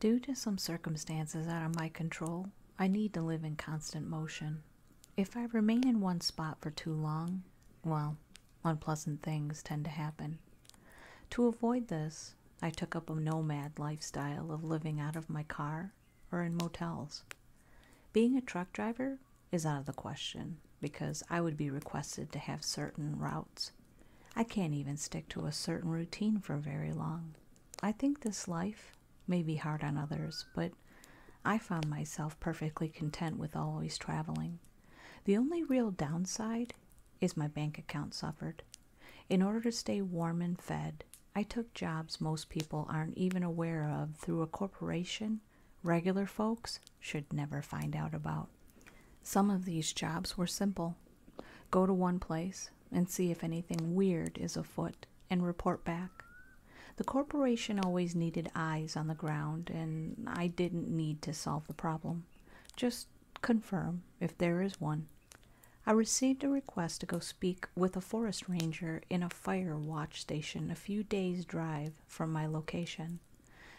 Due to some circumstances out of my control, I need to live in constant motion. If I remain in one spot for too long, well, unpleasant things tend to happen. To avoid this, I took up a nomad lifestyle of living out of my car or in motels. Being a truck driver is out of the question because I would be requested to have certain routes. I can't even stick to a certain routine for very long. I think this life may be hard on others, but I found myself perfectly content with always traveling. The only real downside is my bank account suffered. In order to stay warm and fed, I took jobs most people aren't even aware of through a corporation regular folks should never find out about. Some of these jobs were simple go to one place and see if anything weird is afoot and report back. The corporation always needed eyes on the ground, and I didn't need to solve the problem. Just confirm if there is one. I received a request to go speak with a forest ranger in a fire watch station a few days' drive from my location.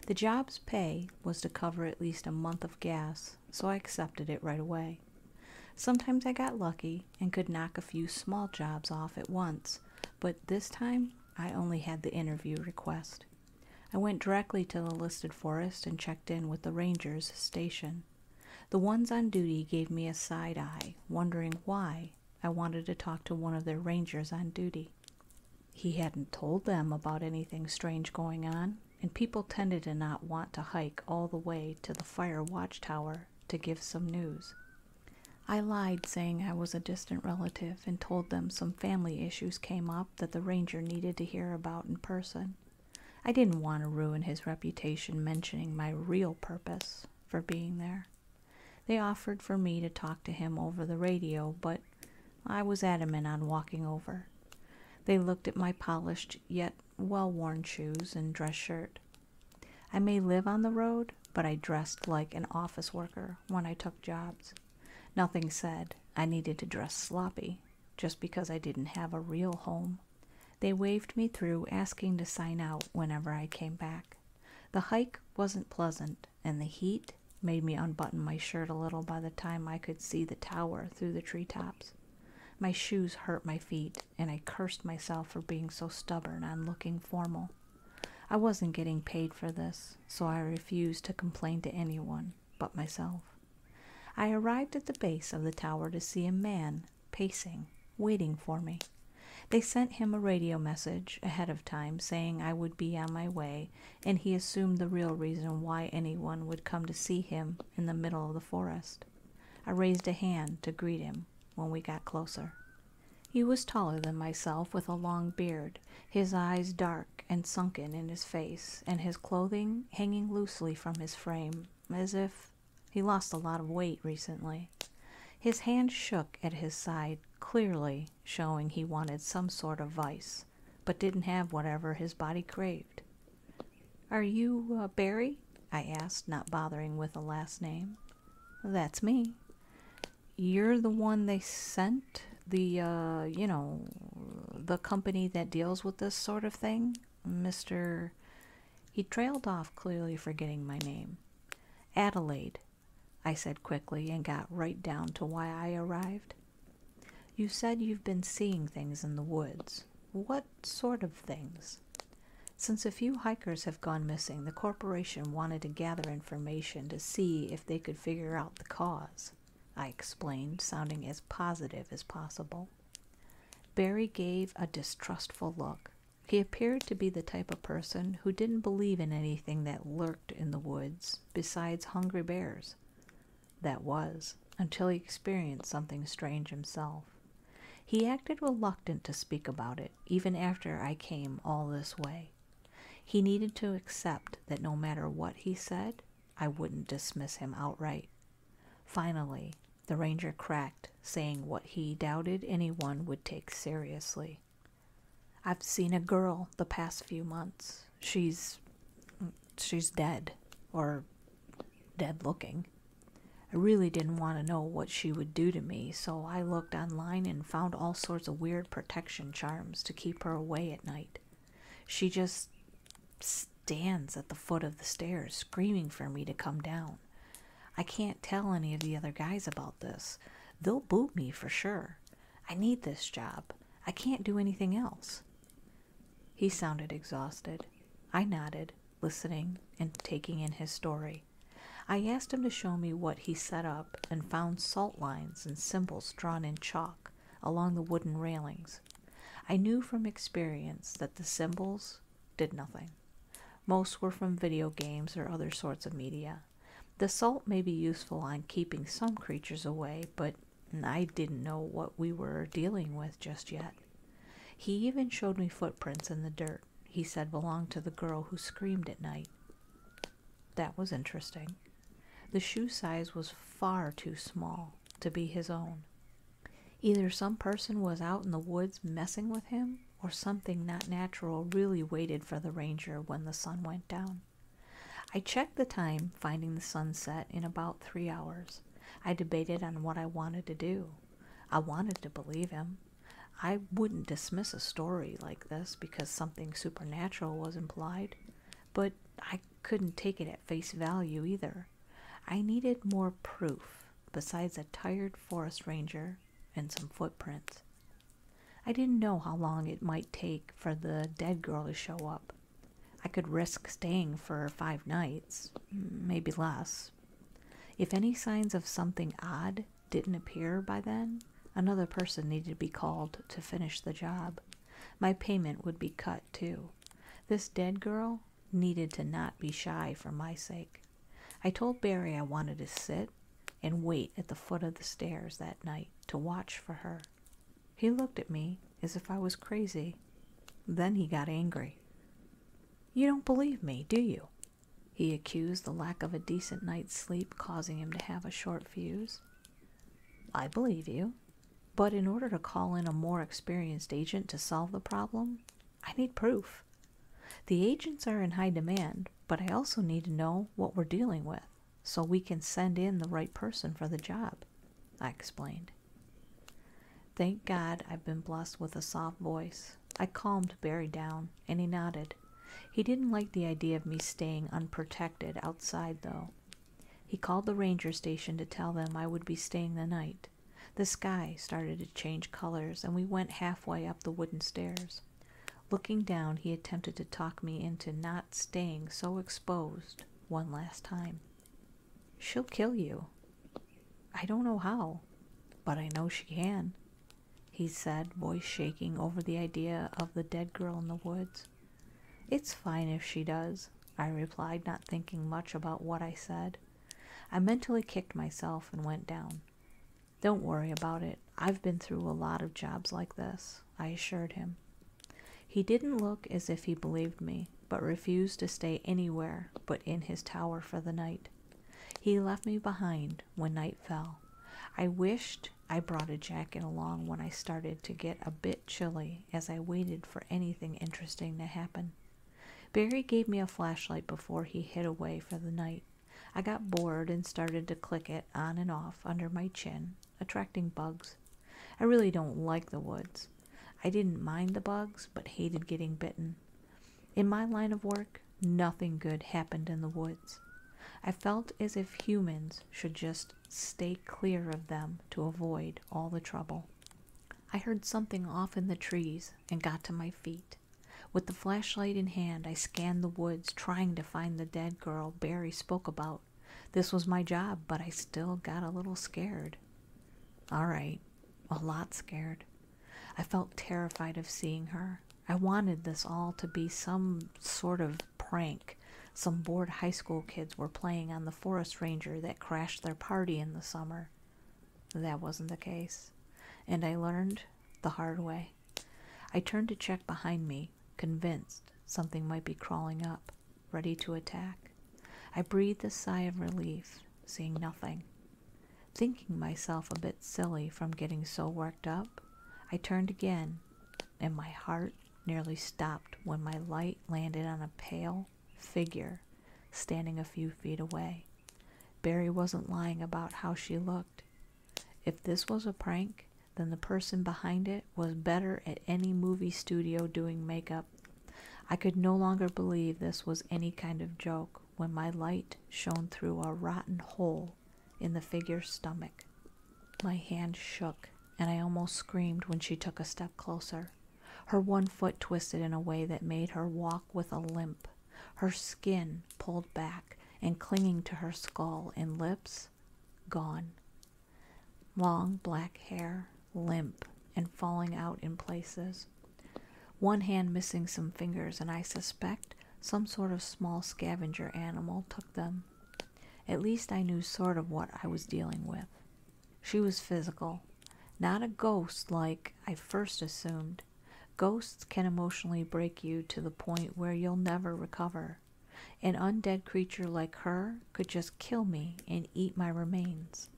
The job's pay was to cover at least a month of gas, so I accepted it right away. Sometimes I got lucky and could knock a few small jobs off at once, but this time I only had the interview request. I went directly to the listed forest and checked in with the ranger's station. The ones on duty gave me a side eye, wondering why I wanted to talk to one of the rangers on duty. He hadn't told them about anything strange going on, and people tended to not want to hike all the way to the fire watchtower to give some news. I lied, saying I was a distant relative, and told them some family issues came up that the ranger needed to hear about in person. I didn't want to ruin his reputation mentioning my real purpose for being there. They offered for me to talk to him over the radio, but I was adamant on walking over. They looked at my polished yet well worn shoes and dress shirt. I may live on the road, but I dressed like an office worker when I took jobs. Nothing said I needed to dress sloppy just because I didn't have a real home. They waved me through, asking to sign out whenever I came back. The hike wasn't pleasant, and the heat made me unbutton my shirt a little by the time I could see the tower through the tree tops, My shoes hurt my feet, and I cursed myself for being so stubborn and looking formal. I wasn't getting paid for this, so I refused to complain to anyone but myself. I arrived at the base of the tower to see a man pacing, waiting for me. They sent him a radio message ahead of time saying I would be on my way, and he assumed the real reason why anyone would come to see him in the middle of the forest. I raised a hand to greet him when we got closer. He was taller than myself, with a long beard, his eyes dark and sunken in his face, and his clothing hanging loosely from his frame, as if he lost a lot of weight recently. His hand shook at his side, clearly showing he wanted some sort of vice, but didn't have whatever his body craved. Are you uh, Barry? I asked, not bothering with a last name. That's me. You're the one they sent? The, uh, you know, the company that deals with this sort of thing? Mr. He trailed off, clearly forgetting my name. Adelaide, I said quickly and got right down to why I arrived. You said you've been seeing things in the woods. What sort of things? Since a few hikers have gone missing, the corporation wanted to gather information to see if they could figure out the cause, I explained, sounding as positive as possible. Barry gave a distrustful look. He appeared to be the type of person who didn't believe in anything that lurked in the woods besides hungry bears. That was, until he experienced something strange himself. He acted reluctant to speak about it, even after I came all this way. He needed to accept that no matter what he said, I wouldn't dismiss him outright. Finally, the ranger cracked saying what he doubted anyone would take seriously. I've seen a girl the past few months. She's she's dead or dead looking. I really didn't want to know what she would do to me, so I looked online and found all sorts of weird protection charms to keep her away at night. She just stands at the foot of the stairs, screaming for me to come down. I can't tell any of the other guys about this. They'll boot me for sure. I need this job. I can't do anything else. He sounded exhausted. I nodded, listening and taking in his story. I asked him to show me what he set up and found salt lines and symbols drawn in chalk along the wooden railings. I knew from experience that the symbols did nothing. Most were from video games or other sorts of media. The salt may be useful in keeping some creatures away, but I didn't know what we were dealing with just yet. He even showed me footprints in the dirt he said belonged to the girl who screamed at night. That was interesting. The shoe size was far too small to be his own. Either some person was out in the woods messing with him, or something not natural really waited for the ranger when the sun went down. I checked the time, finding the sunset in about three hours. I debated on what I wanted to do. I wanted to believe him. I wouldn't dismiss a story like this because something supernatural was implied, but I couldn't take it at face value either. I needed more proof besides a tired forest ranger and some footprints. I didn't know how long it might take for the dead girl to show up. I could risk staying for five nights, maybe less. If any signs of something odd didn't appear by then, another person needed to be called to finish the job. My payment would be cut too. This dead girl needed to not be shy for my sake. I told Barry I wanted to sit and wait at the foot of the stairs that night to watch for her. He looked at me as if I was crazy. Then he got angry. You don't believe me, do you? He accused the lack of a decent night's sleep causing him to have a short fuse. I believe you, but in order to call in a more experienced agent to solve the problem, I need proof. The agents are in high demand, but I also need to know what we're dealing with so we can send in the right person for the job, I explained. Thank God I've been blessed with a soft voice. I calmed Barry down, and he nodded. He didn't like the idea of me staying unprotected outside, though. He called the ranger station to tell them I would be staying the night. The sky started to change colors, and we went halfway up the wooden stairs. Looking down, he attempted to talk me into not staying so exposed one last time. She'll kill you. I don't know how, but I know she can, he said, voice shaking over the idea of the dead girl in the woods. It's fine if she does, I replied, not thinking much about what I said. I mentally kicked myself and went down. Don't worry about it. I've been through a lot of jobs like this, I assured him. He didn't look as if he believed me, but refused to stay anywhere but in his tower for the night. He left me behind when night fell. I wished I brought a jacket along when I started to get a bit chilly as I waited for anything interesting to happen. Barry gave me a flashlight before he hid away for the night. I got bored and started to click it on and off under my chin, attracting bugs. I really don't like the woods. I didn't mind the bugs, but hated getting bitten. In my line of work, nothing good happened in the woods. I felt as if humans should just stay clear of them to avoid all the trouble. I heard something off in the trees and got to my feet. With the flashlight in hand, I scanned the woods, trying to find the dead girl Barry spoke about. This was my job, but I still got a little scared. All right, a lot scared. I felt terrified of seeing her. I wanted this all to be some sort of prank. Some bored high school kids were playing on the forest ranger that crashed their party in the summer. That wasn't the case, and I learned the hard way. I turned to check behind me, convinced something might be crawling up, ready to attack. I breathed a sigh of relief, seeing nothing. Thinking myself a bit silly from getting so worked up, I turned again, and my heart nearly stopped when my light landed on a pale figure standing a few feet away. Barry wasn't lying about how she looked. If this was a prank, then the person behind it was better at any movie studio doing makeup. I could no longer believe this was any kind of joke when my light shone through a rotten hole in the figure's stomach. My hand shook, and I almost screamed when she took a step closer. Her one foot twisted in a way that made her walk with a limp her skin pulled back and clinging to her skull and lips, gone. Long black hair, limp and falling out in places. One hand missing some fingers, and I suspect some sort of small scavenger animal took them. At least I knew sort of what I was dealing with. She was physical, not a ghost like I first assumed, Ghosts can emotionally break you to the point where you'll never recover. An undead creature like her could just kill me and eat my remains.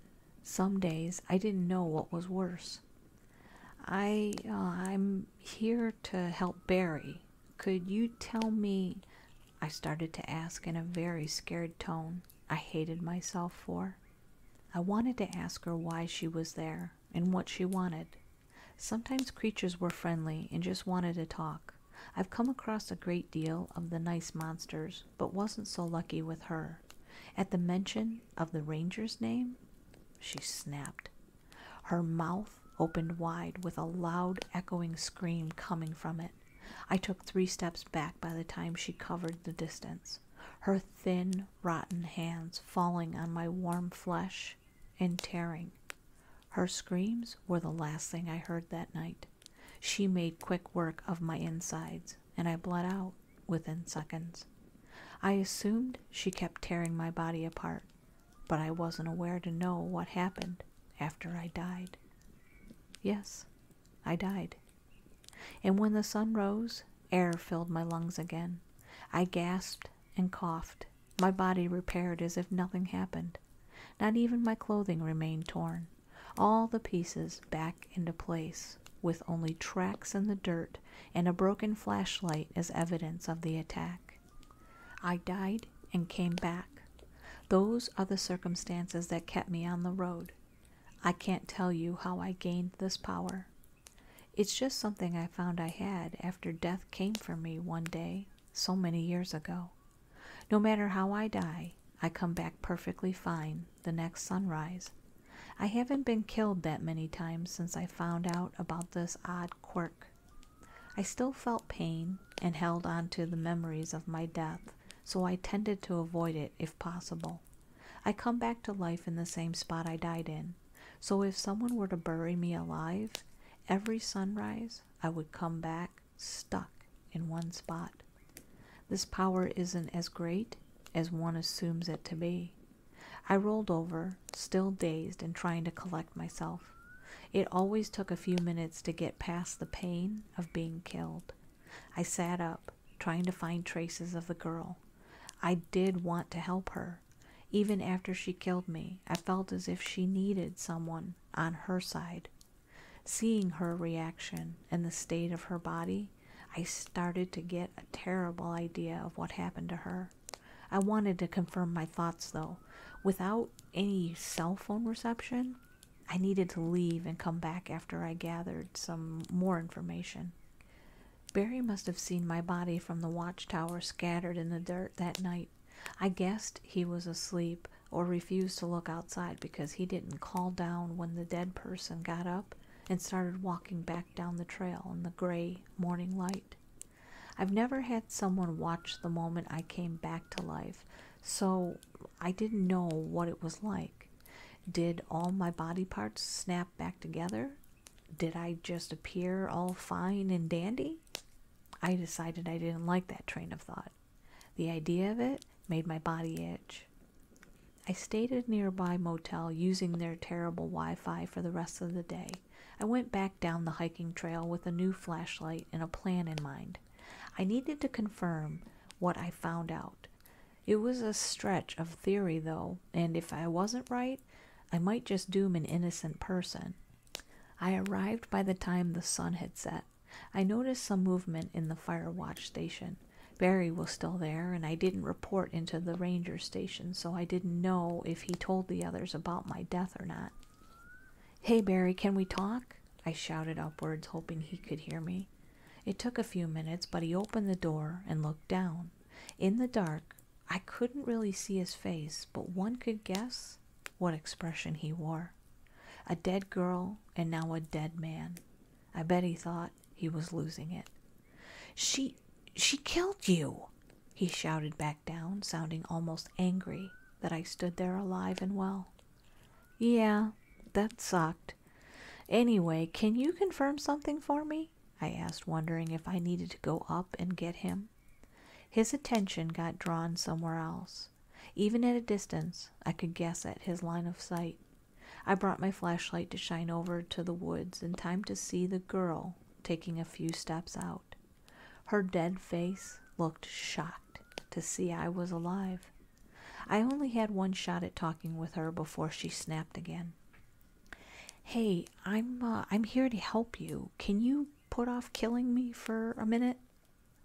Some days I didn't know what was worse. I uh, I'm here to help Barry. Could you tell me I started to ask in a very scared tone I hated myself for. I wanted to ask her why she was there and what she wanted. Sometimes creatures were friendly and just wanted to talk. I've come across a great deal of the nice monsters, but wasn't so lucky with her. At the mention of the ranger's name, she snapped. Her mouth opened wide with a loud, echoing scream coming from it. I took three steps back by the time she covered the distance her thin, rotten hands falling on my warm flesh and tearing. Her screams were the last thing I heard that night. She made quick work of my insides, and I bled out within seconds. I assumed she kept tearing my body apart, but I wasn't aware to know what happened after I died. Yes, I died. And when the sun rose Air filled my lungs again. I gasped and coughed. My body repaired as if nothing happened. Not even my clothing remained torn. All the pieces back into place, with only tracks in the dirt and a broken flashlight as evidence of the attack. I died and came back. Those are the circumstances that kept me on the road. I can't tell you how I gained this power. It's just something I found I had after death came for me one day, so many years ago. No matter how I die, I come back perfectly fine the next sunrise. I haven't been killed that many times since I found out about this odd quirk. I still felt pain and held on to the memories of my death, so I tended to avoid it if possible. I come back to life in the same spot I died in. So if someone were to bury me alive, every sunrise I would come back stuck in one spot. This power isn't as great as one assumes it to be. I rolled over, still dazed and trying to collect myself. It always took a few minutes to get past the pain of being killed. I sat up, trying to find traces of the girl. I did want to help her. Even after she killed me, I felt as if she needed someone on her side. Seeing her reaction and the state of her body, I started to get a terrible idea of what happened to her. I wanted to confirm my thoughts though. Without any cell phone reception, I needed to leave and come back after I gathered some more information. Barry must have seen my body from the watchtower scattered in the dirt that night. I guessed he was asleep or refused to look outside because he didn't call down when the dead person got up and started walking back down the trail in the gray morning light. I've never had someone watch the moment I came back to life, so I didn't know what it was like. Did all my body parts snap back together? did I just appear all fine and dandy? I decided I didn't like that train of thought. The idea of it made my body itch. I stayed at a nearby motel using their terrible Wi Fi for the rest of the day. I went back down the hiking trail with a new flashlight and a plan in mind. I needed to confirm what I found out. It was a stretch of theory, though, and if I wasn't right, I might just doom an innocent person. I arrived by the time the sun had set. I noticed some movement in the fire watch station. Barry was still there, and I didn't report into the ranger station, so I didn't know if he told the others about my death or not. Hey, Barry, can we talk? I shouted upwards, hoping he could hear me. It took a few minutes, but he opened the door and looked down. In the dark, I couldn't really see his face, but one could guess what expression he wore. A dead girl and now a dead man. I bet he thought he was losing it. She she killed you, he shouted back down, sounding almost angry that I stood there alive and well. Yeah, that sucked. Anyway, can you confirm something for me? I asked, wondering if I needed to go up and get him. His attention got drawn somewhere else. Even at a distance, I could guess at his line of sight. I brought my flashlight to shine over to the woods in time to see the girl taking a few steps out. Her dead face looked shocked to see I was alive. I only had one shot at talking with her before she snapped again hey i'm uh, i'm here to help you can you put off killing me for a minute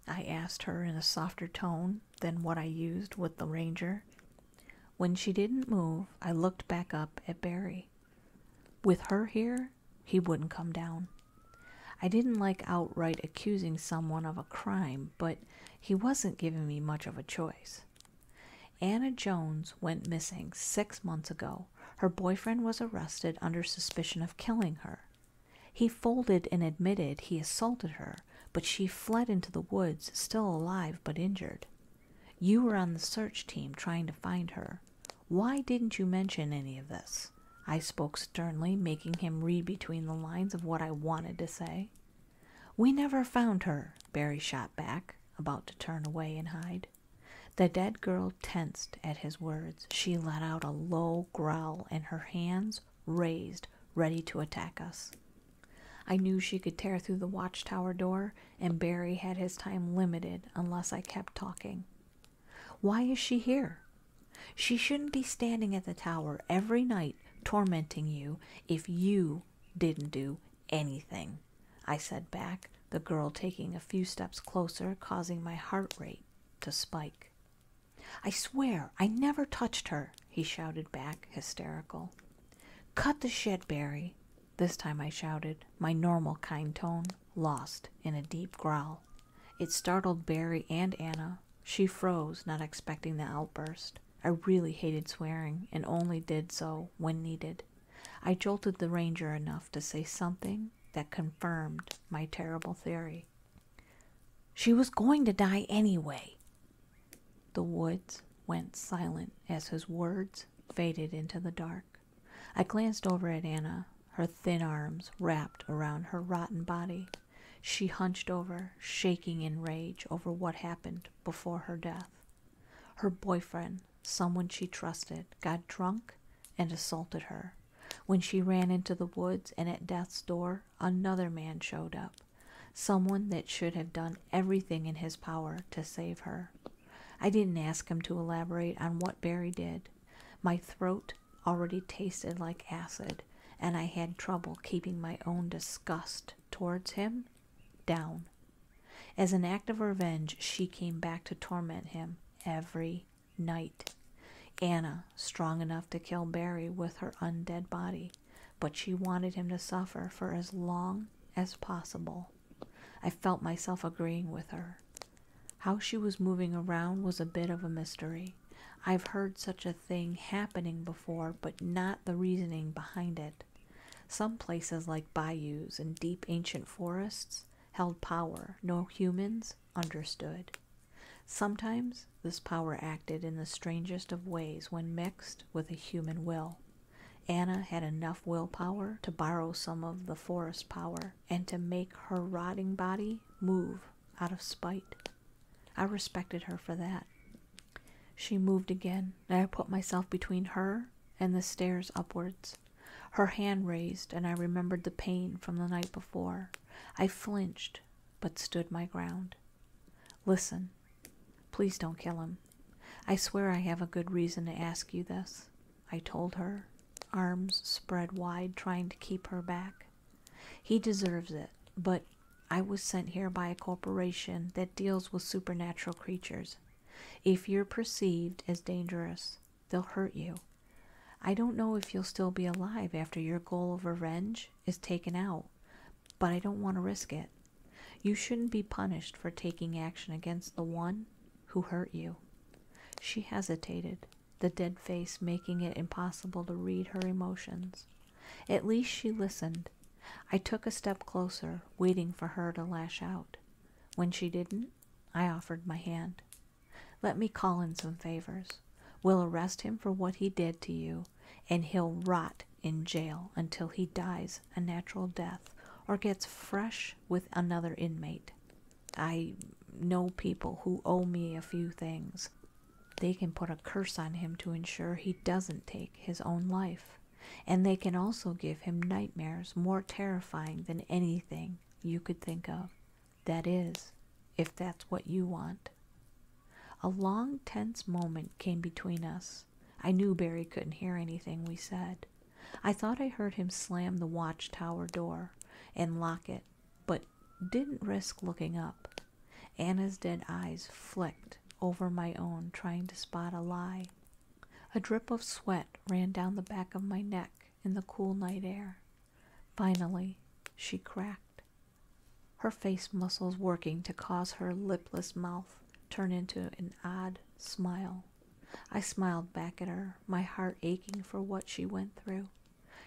i asked her in a softer tone than what i used with the ranger when she didn't move i looked back up at barry with her here he wouldn't come down i didn't like outright accusing someone of a crime but he wasn't giving me much of a choice Anna Jones went missing six months ago. Her boyfriend was arrested under suspicion of killing her. He folded and admitted he assaulted her, but she fled into the woods, still alive but injured. You were on the search team trying to find her. Why didn't you mention any of this? I spoke sternly, making him read between the lines of what I wanted to say. We never found her, Barry shot back, about to turn away and hide. The dead girl tensed at his words. She let out a low growl and her hands raised, ready to attack us. I knew she could tear through the watchtower door, and Barry had his time limited unless I kept talking. Why is she here? She shouldn't be standing at the tower every night tormenting you if you didn't do anything, I said back, the girl taking a few steps closer, causing my heart rate to spike. I swear I never touched her, he shouted back, hysterical. Cut the shit, Barry. This time I shouted, my normal kind tone lost in a deep growl. It startled Barry and Anna. She froze, not expecting the outburst. I really hated swearing and only did so when needed. I jolted the ranger enough to say something that confirmed my terrible theory. She was going to die anyway. The woods went silent as his words faded into the dark. I glanced over at Anna, her thin arms wrapped around her rotten body. She hunched over, shaking in rage over what happened before her death. Her boyfriend, someone she trusted, got drunk and assaulted her. When she ran into the woods and at death's door, another man showed up, someone that should have done everything in his power to save her. I didn't ask him to elaborate on what Barry did. My throat already tasted like acid, and I had trouble keeping my own disgust towards him down. As an act of revenge, she came back to torment him every night. Anna, strong enough to kill Barry with her undead body, but she wanted him to suffer for as long as possible. I felt myself agreeing with her. How she was moving around was a bit of a mystery. I've heard such a thing happening before, but not the reasoning behind it. Some places, like bayous and deep ancient forests, held power no humans understood. Sometimes this power acted in the strangest of ways when mixed with a human will. Anna had enough willpower to borrow some of the forest power and to make her rotting body move out of spite. I respected her for that. She moved again, and I put myself between her and the stairs upwards. Her hand raised, and I remembered the pain from the night before. I flinched, but stood my ground. Listen, please don't kill him. I swear I have a good reason to ask you this, I told her, arms spread wide, trying to keep her back. He deserves it, but I was sent here by a corporation that deals with supernatural creatures. If you're perceived as dangerous, they'll hurt you. I don't know if you'll still be alive after your goal of revenge is taken out, but I don't want to risk it. You shouldn't be punished for taking action against the one who hurt you. She hesitated, the dead face making it impossible to read her emotions. At least she listened, I took a step closer, waiting for her to lash out. When she didn't, I offered my hand. Let me call in some favors. We'll arrest him for what he did to you, and he'll rot in jail until he dies a natural death or gets fresh with another inmate. I know people who owe me a few things. They can put a curse on him to ensure he doesn't take his own life and they can also give him nightmares more terrifying than anything you could think of. That is, if that's what you want. A long, tense moment came between us. I knew Barry couldn't hear anything we said. I thought I heard him slam the watchtower door and lock it, but didn't risk looking up. Anna's dead eyes flicked over my own, trying to spot a lie a drip of sweat ran down the back of my neck in the cool night air. Finally, she cracked, her face muscles working to cause her lipless mouth turn into an odd smile. I smiled back at her, my heart aching for what she went through.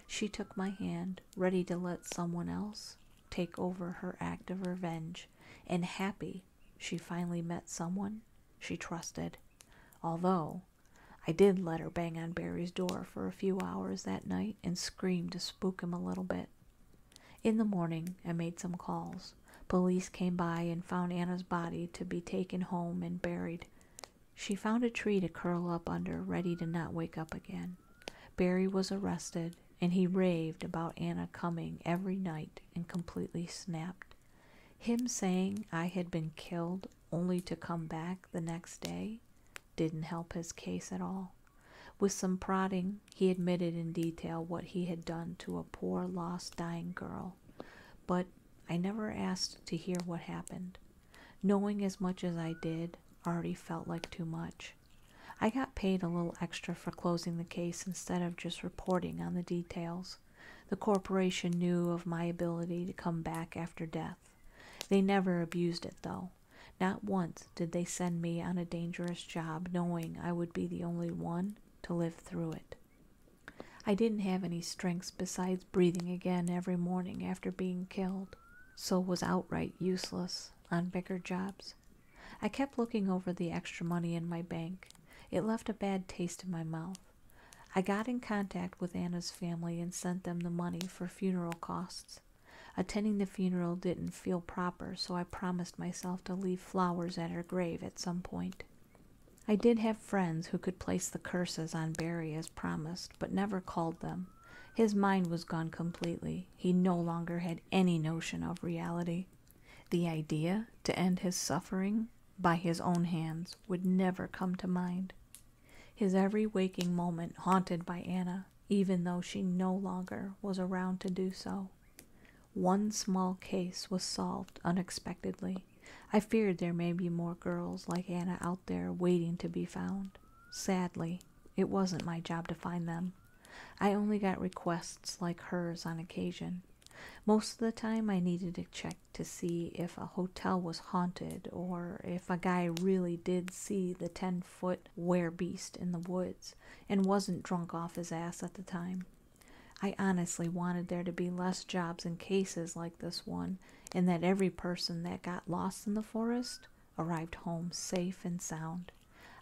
She took my hand, ready to let someone else take over her act of revenge, and happy she finally met someone she trusted, although I did let her bang on Barry's door for a few hours that night and scream to spook him a little bit. In the morning, I made some calls. Police came by and found Anna's body to be taken home and buried. She found a tree to curl up under, ready to not wake up again. Barry was arrested and he raved about Anna coming every night and completely snapped. Him saying I had been killed only to come back the next day didn't help his case at all. With some prodding, he admitted in detail what he had done to a poor, lost, dying girl. But I never asked to hear what happened. Knowing as much as I did already felt like too much. I got paid a little extra for closing the case instead of just reporting on the details. The corporation knew of my ability to come back after death. They never abused it, though. Not once did they send me on a dangerous job knowing I would be the only one to live through it. I didn't have any strengths besides breathing again every morning after being killed, so was outright useless on bigger jobs. I kept looking over the extra money in my bank. It left a bad taste in my mouth. I got in contact with Anna's family and sent them the money for funeral costs. Attending the funeral didn't feel proper, so I promised myself to leave flowers at her grave at some point. I did have friends who could place the curses on Barry as promised, but never called them. His mind was gone completely. He no longer had any notion of reality. The idea to end his suffering by his own hands would never come to mind. His every waking moment haunted by Anna, even though she no longer was around to do so. One small case was solved unexpectedly. I feared there may be more girls like Anna out there waiting to be found. Sadly, it wasn't my job to find them. I only got requests like hers on occasion. Most of the time, I needed a check to see if a hotel was haunted or if a guy really did see the 10 foot werebeast in the woods and wasn't drunk off his ass at the time. I honestly wanted there to be less jobs and cases like this one, and that every person that got lost in the forest arrived home safe and sound.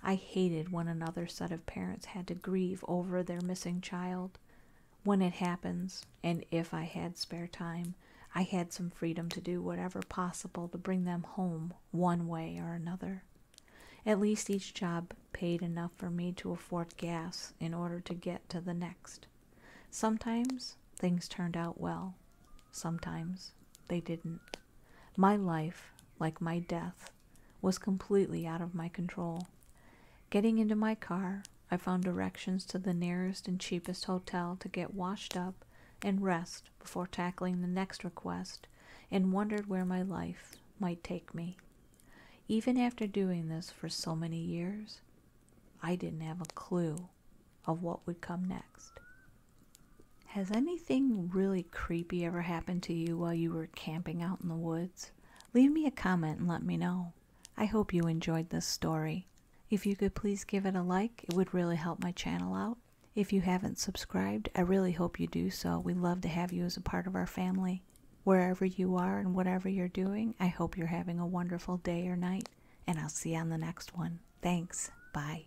I hated when another set of parents had to grieve over their missing child. When it happens, and if I had spare time, I had some freedom to do whatever possible to bring them home one way or another. At least each job paid enough for me to afford gas in order to get to the next. Sometimes things turned out well, sometimes they didn't. My life, like my death, was completely out of my control. Getting into my car, I found directions to the nearest and cheapest hotel to get washed up and rest before tackling the next request, and wondered where my life might take me. Even after doing this for so many years, I didn't have a clue of what would come next. Has anything really creepy ever happened to you while you were camping out in the woods, leave me a comment and let me know. I hope you enjoyed this story. If you could please give it a like, it would really help my channel out. If you haven't subscribed, I really hope you do so. We love to have you as a part of our family. Wherever you are and whatever you're doing, I hope you're having a wonderful day or night, and I'll see you on the next one. Thanks. Bye.